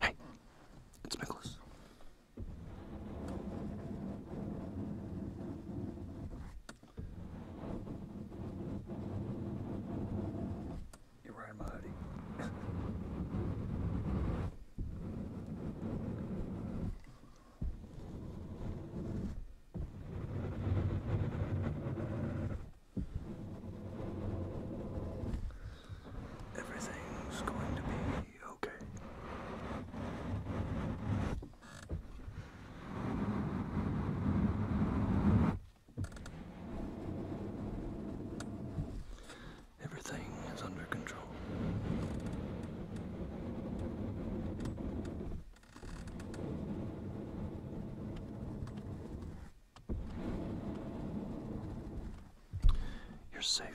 Hey, it's Nicholas. You're wearing my hoodie. Everything's going to be okay. Everything is under control. You're safe.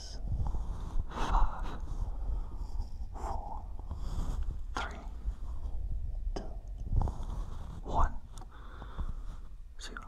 six, five, four, three, two, one, zero.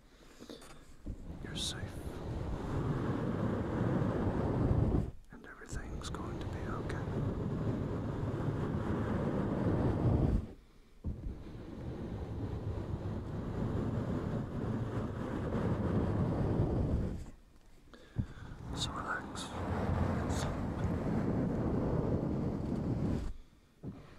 You're safe. And everything's going to be okay. relax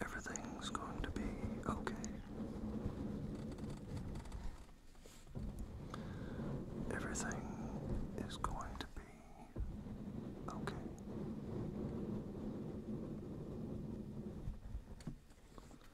Everything's going to be okay. Everything is going to be okay.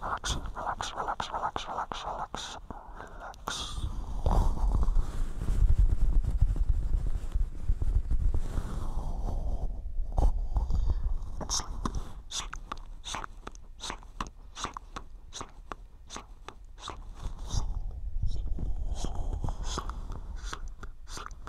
Relax, relax, relax, relax, relax, relax, relax. And sleep, sleep, sleep, sleep, sleep, sleep, sleep, sleep, sleep, sleep, sleep, sleep, sleep.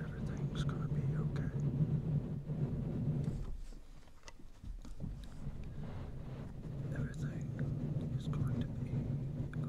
Everything's going to be okay. Everything is going to be